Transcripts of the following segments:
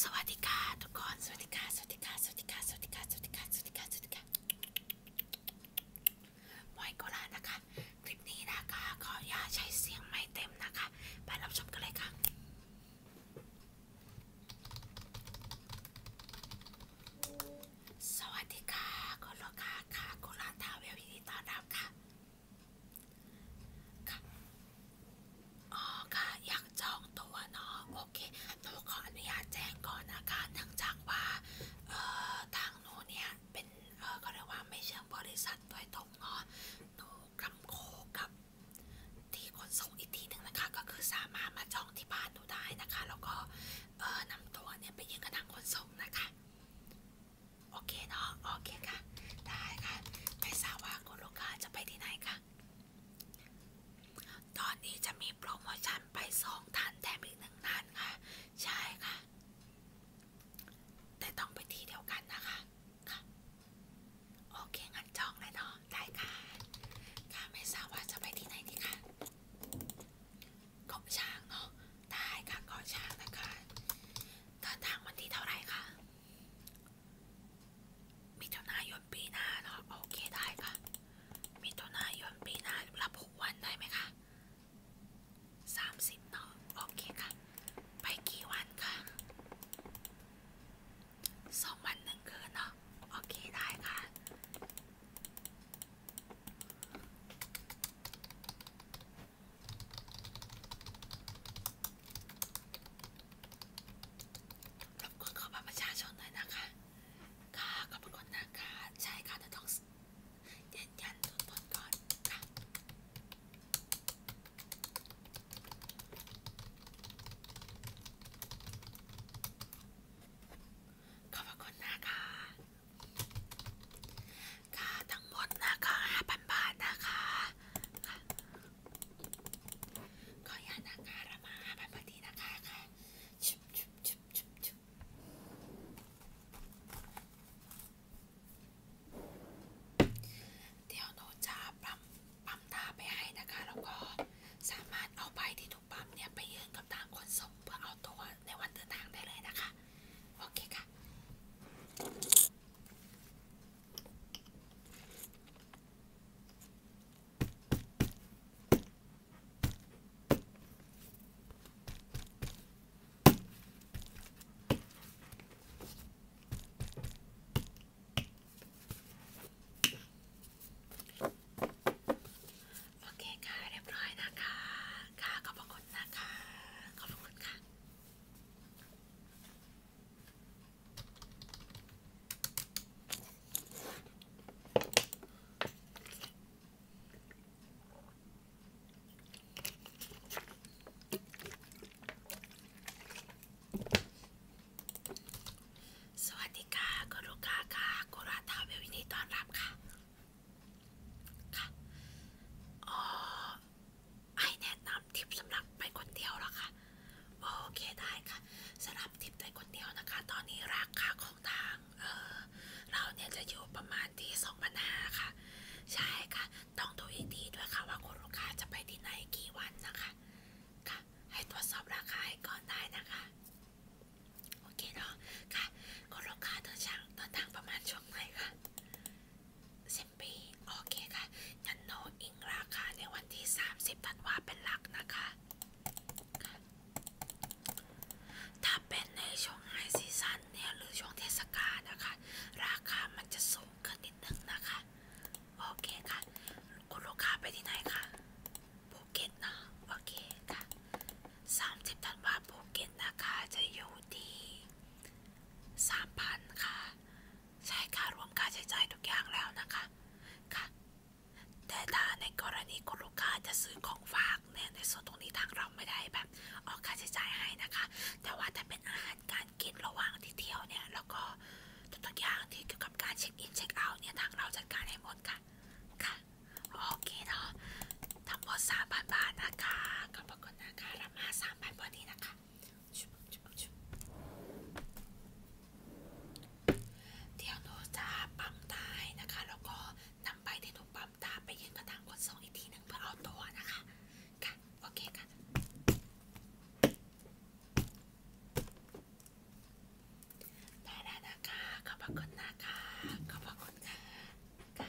สวัสดีค่ะทุกคนสวัสดีค่ะสวัสดีค่ะสวัสดีค่ะสวัสดีค่ะสวัสดีค่ะสวัสดีค่ะสวัสดีค่ะมอยโกลานะคะ คลิปนี้นะคะขออนุญาตใช้เสียงไม่เต็มนะคะ ไปรับชมกันเลยค่ะสวัสดีค่ะคุณลูกค้าค่ะโกลาทาวเวลยินดีต้อนรับค่ะค่ะอยากจองตัวเนาะโอเค หนูขออนุญาตแจ้งก่อนนะคะเนื่องจากว่าทางหนูเนี่ย เป็นก็เรียกว่าไม่เชิงบริษัทโดยตรงเนาะหนูกำโคกับที่ขนส่งอีกทีหนึ่งนะคะ ก็คือสามารถมาจองที่บานหนูได้นะคะ แล้วก็นำตัวเนี่ยไปยื่กับทางขนส่งนะคะ โอเคเนาะโอเคค่ะได้ค่ะไม่ทราบว่าคุณลูกค้าจะไปที่ไหนคะตอนนี้จะมีโปรโมชั่นไปสองท่านแถมอีกหนึ่งท่านค่ะ ใช่ค่ะ แต่ต้องไปที่เดียวกันนะคะค่ะโอเคงั้นจองเลยเนาะ ได้ค่ะ ค่ะไม่ทราบว่าจะไปที่ไหนดีคะเกาะช้างเนาะ ได้ค่ะเกาะช้างนะคะเดินทางวันที่เท่าไหร่คะมิถุนายนปีหน้าเนาะโอเคได้ค่ะมิถุนายนปีหน้ารับหกวันได้ไหมคะสามสิบเนาะโอเคค่ะ ไปกี่วันค่ะสองวันหนึ่งคืนเนาะโอเคได้ค่ะรบกวนขอบัตรประชาชนหน่อยนะคะ ค่ะขอบคุณนะคะ ใช่ค่ะแต่ต้องยืนยันตัวตนก่อนค่ะขอบคุณนะคะค่ะ ทั้งหมดนะคะห้าพันบาทนะคะขอยานะคะระมาแบบนี้นะคะค่ะ ชุบชุบชุบชุบชุบเดี๋ยวโนจะปั๊ม ปั๊มตาไปให้นะคะ แล้วก็สามารถเอาใบที่ถูกปั๊มเนี่ยไปยื่นกับทางขนส่งเพื่อเอาตัวในวันเดินทางได้เลยนะคะ โอเคค่ะโอเคค่ะเรียบร้อยนะคะ ค่ะขอบพระคุณนะคะ ขอบพระคุณค่ะสวัสดีค่ะคุณลูกค้าค่ะคุณราทาเวลยินดีต้อนรับค่ะ ค่ะ อ๋อให้แนะนำทิปสำหรับไปคนเดียวหรอคะ โอเคได้ค่ะสำหรับทิปไปคนเดียวนะคะ ตอนนี้ราคาของทางเเราเนี่ยจะอยู่ประมาณที่สองพันห้าค่ะใช่ค่ะต้องดูอีกทีด้วยค่ะว่าคุณลูกค้าจะไปที่ไหนกี่วันนะคะค่ะให้ตรวจสอบราคาให้ก่อนได้นะคะโอเคเนาะค่ะคุณลูกค้าเดินทางเดินทางประมาณช่วงไหนคะสิ10ปีโอเคค่ะงั้นโนอิง ราคาในวันที่ 30ธันวาเป็นหลักนะคะ ถ้าเป็นในช่วงไฮซีซันเนี่ยหรือช่วงเทศกาลนะคะ ราคามันจะสูงขึ้นนิดนึงนะคะ โอเคค่ะคุณลูกค้าไปที่ไหนคะภูเก็ตเนาะโอเคค่ะ 30ธันวาภูเก็ตนะคะ จะอยู่ที่ 3,000 ค่ะใช่ค่ารวมค่าใช้จ่ายทุกอย่างแล้วนะคะ ค่ะ แต่ถ้าในกรณีคุณลูกค้าจะซื้อของฝากเนี่ยในส่วนตรงนี้ทางเราไม่ได้แบบออกค่าใช้จ่ายให้นะคะ แต่ว่าถ้าเป็นอาหารการกินระหว่างที่เที่ยวเนี่ย แล้วก็ ทุกอย่างที่เกี่ยวกับการเช็คอินเช็คเอาท์เนี่ยทางเราจัดการให้หมดค่ะ ค่ะ โอเคเนาะทั้งหมดสามพันบาทนะคะขอบคุณนะคะรามาสามพันพอดีนะคะเดี๋ยวหนูจะปั๊มตายนะคะ แล้วก็นำใบที่หนูปั๊มตาไปยื่นกระถางคนส่งอีกทีหนึ่งเพื่อเอาตัวนะคะ ค่ะ โอเคค่ะได้แล้วนะคะขอบคุณนะคะขอบคุณค่ะ ค่ะ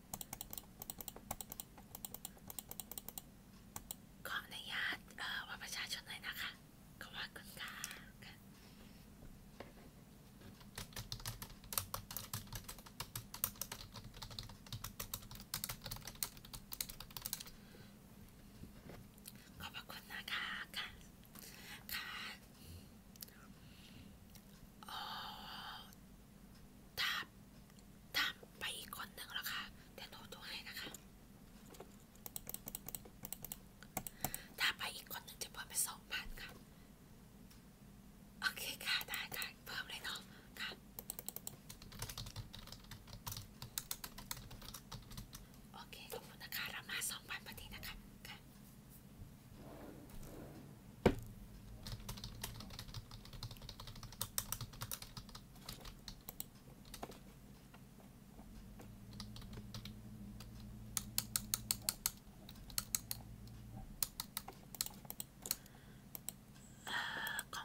ขออนุญาตเอ่อว่าประชาชนหน่อยนะคะขอบคุณค่ะขอบคุณนะคะค่ะค่ะโอ้ถามถามไปอีกคนหนึ่งแล้วค่ะเดี๋ยวโทรโทรให้นะคะ ถ้าไปอีกคนหนึ่งจะเพิ่มไปสองพันค่ะ โอเคค่ะ ได้ได้เพิ่มเลยเนาะ ค่ะ โอเคขอบคุณนะคะ เรามาสองพันพอดีนะคะ ค่ะขอ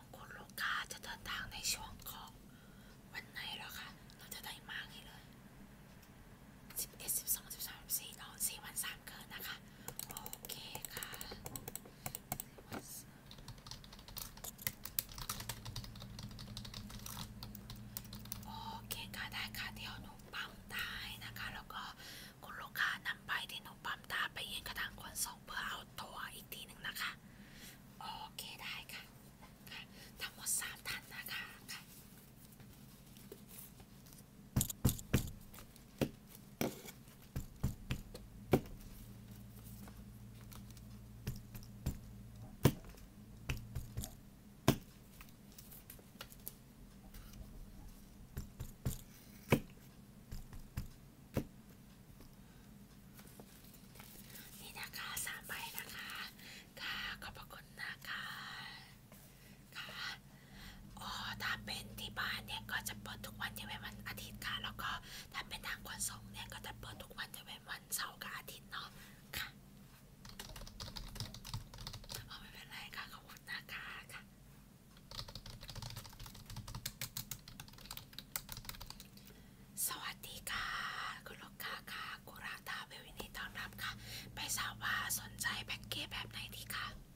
งคุณลูกค้าจะเดินทางในช่วงของวันไหนหรอคะ เราจะได้มากให้เลยสิบเอ็ดสิบสองสิบสามสิบสี่นอนสี่วันสามคืนนะคะโอเคค่ะ โอเคค่ะได้ค่ะเดี๋ยวหนูปั๊มตายนะคะแล้วก็คุณลูกค้านำไปที่หนูปั๊มตาไปยืนกระถางคนส่งเพื่อเอาตัวอีกทีหนึ่งนะคะโอเคได้ค่ะค่ะทั้งหมดสามท่านนะคะค่ะนี่นะคะสามใบนะคะ ค่ะ ขอบพระคุณนะคะค่ะอ๋อถ้าเป็นที่บ้านเนี่ยก็จะเปิดทุกวันจะเป็นวันอาทิตย์ค่ะ แล้วก็ถ้าเป็นทางขนส่งเนี่ยก็จะเปิดทุกวันจะเป็นวันเสาร์กับอาทิตย์เนาะค่ะอ๋อไม่เป็นไรค่ะขอบคุณนะคะค่ะ สวัสดีค่ะ คุณลูกค้าค่ะกุราตาเวลินีต้อนรับค่ะ ไปทราบว่าสนใจแพ็กเกจแบบไหนดีคะ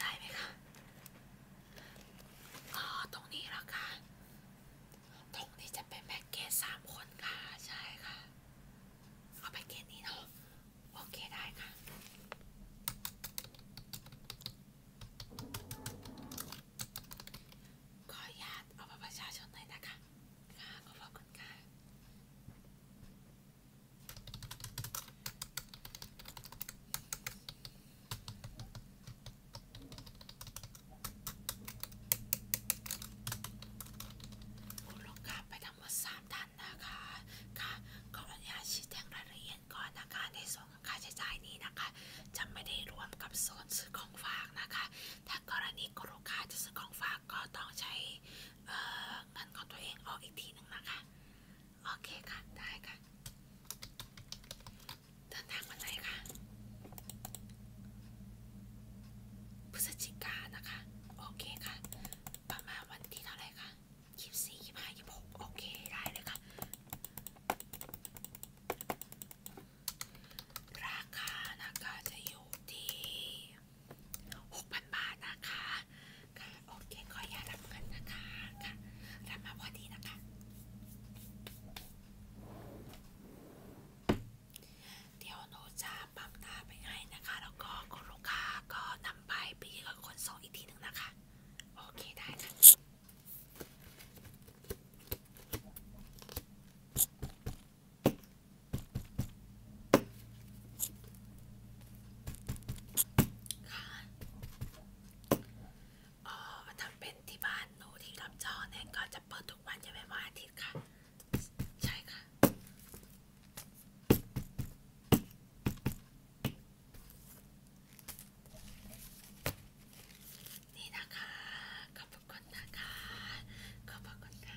ได้ไหมคะอ๋อ ตรงนี้ละค่ะ ตรงนี้จะเป็นแพ็กเกจสามคนค่ะใช่ค่ะ เอาแพ็กเกจนี้เนาะโอเคได้ค่ะขออนุญาตเอาประชาชนหน่อยนะคะค่ะขอบคุณค่ะคุณลูกค้าไปทั้งหมดสามท่านนะคะ ค่ะขออนุญาตชี้แจงรายละเอียดก่อนนะคะ ในส่วนของค่าใช้จ่ายนี้นะคะ จะไม่ได้รวมกับโซนซื้อของฝากนะคะ ถ้ากรณีคุณลูกค้าจะซื้อของฝากก็ต้องใช้เงินของตัวเองออกอีกทีหนึ่งนะคะ โอเคค่ะ ได้ค่ะเดินทางวันไหนคะพฤศจิกานะคะ โอเคค่ะ ประมาณวันที่เท่าไหร่คะยี่สิบสี่ยี่สิบห้ายี่สิบหกโอเคได้เลยค่ะราคานะคะจะอยู่ที่หกพันบาทนะคะ ค่ะ โอเค ขออย่ารับเงินนะคะ ค่ะ รับมาพอดีนะคะ เดี๋ยวโนจะปั๊มตาไปให้นะคะ แล้วก็คุณลูกค้าก็นำไปไปยื่นกับคนส่งอีกทีหนึ่งนะคะ โอเคได้ค่ะอ๋อทำเป็นที่บ้านหนูที่รับจอเนี่ยก็จะเปิดทุกวันจะไม่ว่าอาทิตย์ค่ะ ใช่ค่ะ นี่นะคะขอบคุณนะคะขอบคุณค่ะ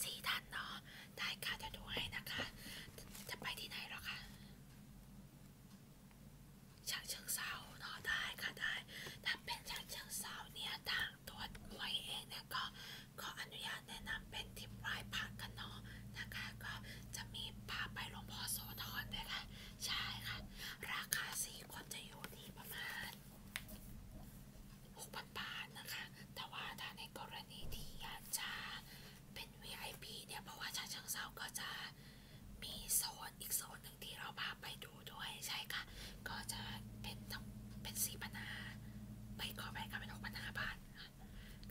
สี่ท่านเนาะได้ค่ะจะดูให้นะคะ จะไปที่ไหนหรอคะฉากเชิงเซาเนาะได้ค่ะได้ถ้าเป็นฉากเชิงเซาเนี่ยทางตัวหวยเองเนี่ยก็ขออนุญาตแนะนำเป็นทิปไร้ผักกันเนาะนะคะก็จะมีพาไปหลวงพ่อโสธรด้วยค่ะใช่ค่ะ ราคาสี่คนจะอยู่ที่ประมาณหกพปานนะคะแต่ว่าถ้าในกรณีที่อยากจะเป็น VIP เนี่ย เพราะว่าชาเชิงเซา ก็จะมีโซนอีกโซนหนึ่งที่เราพาไปดูด้วยใช่ค่ะ ก็จะเป็นเป็นสี่พันห้าไปขอไปกันเป็นหกพันห้าบาท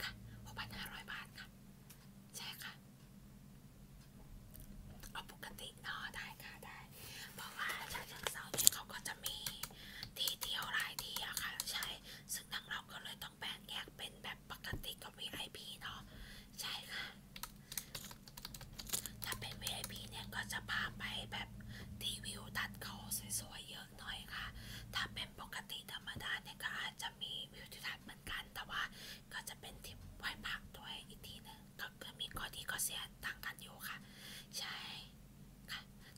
ค่ะหกพันห้าร้อยบาทค่ะใช่ค่ะเอาปกติเนาะได้ค่ะได้ เพราะว่าชาเชิงเซาเนี่ยเขาก็จะจะมีที่เที่ยวหลายที่อะค่ะใช่ซึ่งทางเราก็เลยต้องแบ่งแยกเป็นแบบปกติกับ VIP เนาะใช่ค่ะถ้าเป็น VIP เนี่ยก็จะพาไปแบบที่วิวทัดเขาสวยๆเยอะหน่อยค่ะ ถ้าเป็นปกติธรรมดาเนี่ยก็อาจจะมีวิวทิวทัศน์เหมือนกัน แต่ว่าก็จะเป็นที่ไหว้พักด้วยอีกทีนึงก็มีข้อดีข้อเสียต่างกันอยู่ค่ะ ใช่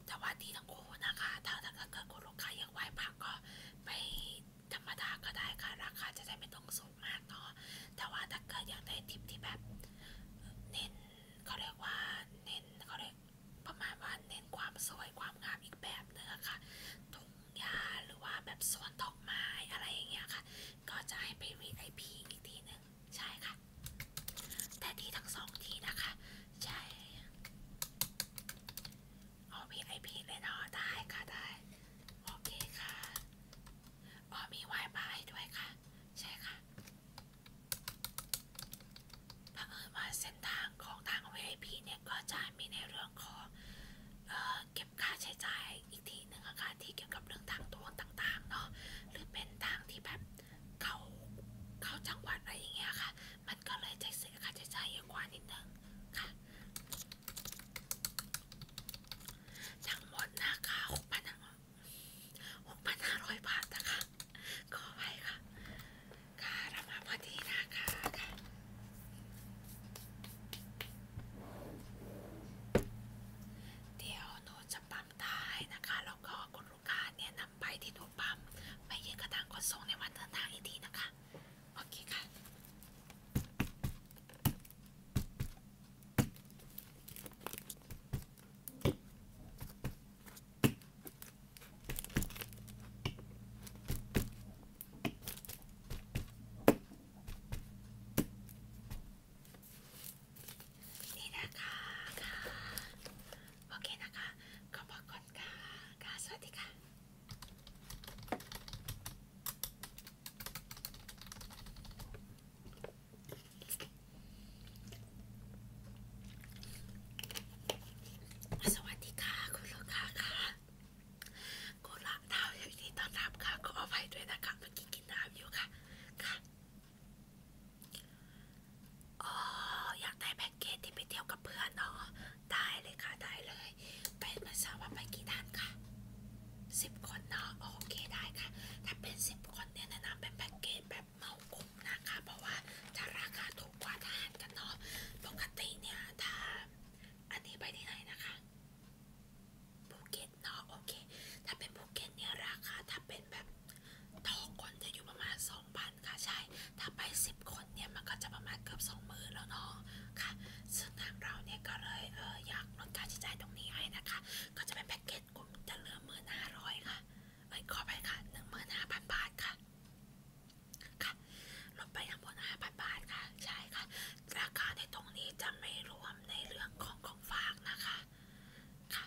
แต่ว่าดีทั้งคู่นะคะถ้าเกิดคุณลูกค้ายังไหวผักก็ไม่ธรรมดาก็ได้ค่ะ ราคาจะไม่ต้องสูงมากเนาะแต่ว่าถ้าเกิดอยากได้ทิปที่แบบเน้นเขาเรียกว่าเน้นเขาเรียกประมาณว่าเน้นความสวยความงามอีกแบบเนื้อค่ะทุ่งหญ้าหรือว่าแบบสวนดอกไม้อะไรอย่างเงี้ยค่ะ ก็จะให้ไป VIP อีกทีหนึ่งใช่ค่ะแต่ที่ทั้งสองที่นะคะ ใช่อ๋อมีไอพีเลยเนาะได้ค่ะได้โอเคค่ะอ๋อมีไวไฟด้วยค่ะ ใช่ค่ะบังเอิญว่าเส้นทางของทาง VIP เนี่ย ก็จะมีในเรื่องของเออเก็บค่าใช้จ่ายอีกทีหนึ่งค่ะที่เกี่ยวกับเรื่องทางตัวต่างๆเนาะหรือเป็นทางที่แบบเขาเขาจังหวัดอะไรอย่างเงี้ยค่ะ มันก็เลยจะเสียค่าใช้จ่ายเยอะกว่านิดนึงค่ะทั้งหมดนะคะหกพันหกพันห้าร้อยบาทนะคะขอไปค่ะ ค่ะเรามาพอดีนะคะค่ะเดี๋ยวหนูจะปั๊มตายนะคะแล้วก็คุณลูกค้าเนี่ยนะนำไปที่หนูปั๊มไปยื่นกระดานขนส่งในวันเดินทางอีกทีนะคะโอเคค่ะนี่นะคะค่ะโอเคนะคะขอบคุณค่ะค่ะสวัสดีค่ะ สวัสดีค่ะคุณลูกค้าค่ะคุณละดาวอยู่ที่ต้อนรับค่ะขออภัยด้วยนะคะเมื่อกี้กินน้ำอยู่ค่ะ ค่ะอ๋ออยากได้แพ็กเกจที่ไปเที่ยวกับเพื่อนเนาะได้เลยค่ะได้เลยไปมาสาว่าไปกี่ท่านค่ะสิบคนเนาะโอเคได้ค่ะถ้าเป็นสิบคนเนี่ยแนะนำเป็นแพ็กเกจแบบเหมาคุ้มนะคะ เพราะว่าจะราคาถูกกว่าทานกันเนาะปกติเนี่ยถ้าอันนี้ไปที่ไหนนะคะภูเก็ตเนาะโอเคถ้าเป็นภูเก็ตเนี่ยราคาถ้าเป็นเป็นแบบต่อคนจะอยู่ประมาณสองพันค่ะใช่ ถ้าไปสิบคนเนี่ยมันก็จะประมาณเกือบสองหมื่นแล้วเนาะ ค่ะ ซึ่งทางเราเนี่ยก็เลยเอออยากลดค่าใช้จ่ายตรงนี้ให้นะคะ ก็จะเป็นแพ็กเกจกลุ่มจะเหลือหมื่นห้าร้อยค่ะ เอ้ยขอไปค่ะหนึ่งหมื่นห้าพันบาทค่ะค่ะ ลดไปทั้งหมดห้าพันบาทค่ะ ใช่ค่ะ ราคาในตรงนี้จะไม่รวมในเรื่องของของฝากนะคะ ค่ะ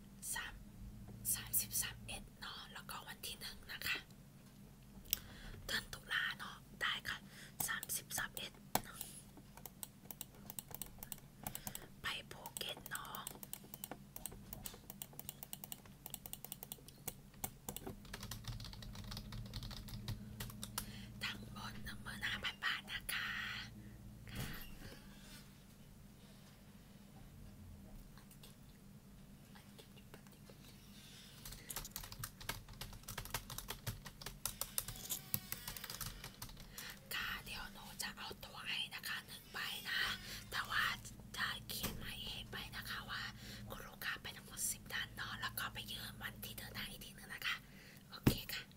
33เอ็ดเนาะ แล้วก็วันที่หนึ่งนะคะเดือนตุลาเนาะ ได้ค่ะ33เอ็ดไปภูเก็ตเนาะ ทั้งหมดหนึ่งหมื่นห้าพันบาทนะคะค่ะเดี๋ยวหนูจะเอาตัวให้นะคะหนึ่งใบนะ แต่ว่าจะเขียนหมายเหตุไปนะคะว่าคุณลูกค้าไปทั้งหมดสิบด้านเนาะแล้วก็ไปยืนวันที่เดินทางอีกทีนึงนะคะ โอเคค่ะโอ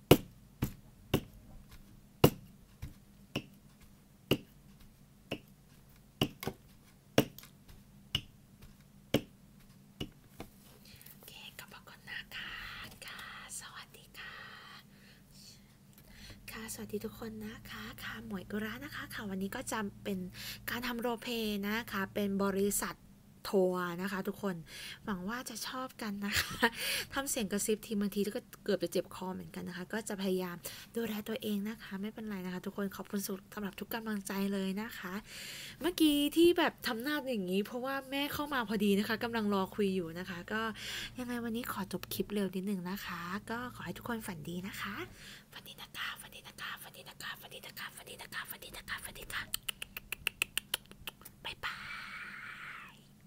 เคขอบคุนะคะค่ะ สวัสดีค่ะ ค่ะสวัสดีทุกคนนะคะ ค่ะหมวยกุระนะคะ ค่ะวันนี้ก็จะเป็นการทำโรเพนะคะ เป็นบริษัททัวร์นะคะ ทุกคนหวังว่าจะชอบอบกันนะคะทำเสียงกระซิบทีบางทีก็เกือบจะเจ็บคอเหมือนกันนะคะ ก็จะพยายามดูแลตัวเองนะคะ ไม่เป็นไรนะคะ ทุกคน ขอบคุณสุดสำหรับทุกกำลังใจเลยนะคะ เมื่อกี้ที่แบบทำหน้าอย่างนี้ เพราะว่าแม่เข้ามาพอดีนะคะกำลังรอคุยอยู่นะคะก็ยังไงวันนี้ขอจบคลิปเร็วนิดนึงนะคะ ก็ขอให้ทุกคนฝันดีนะคะฝันดีนะคะฝันดีนะคะฝันดีนะคะฝันดีนะคะฝันดีนะคะฝันดีนะคะฝันดีนค่ะบ๊ายบาย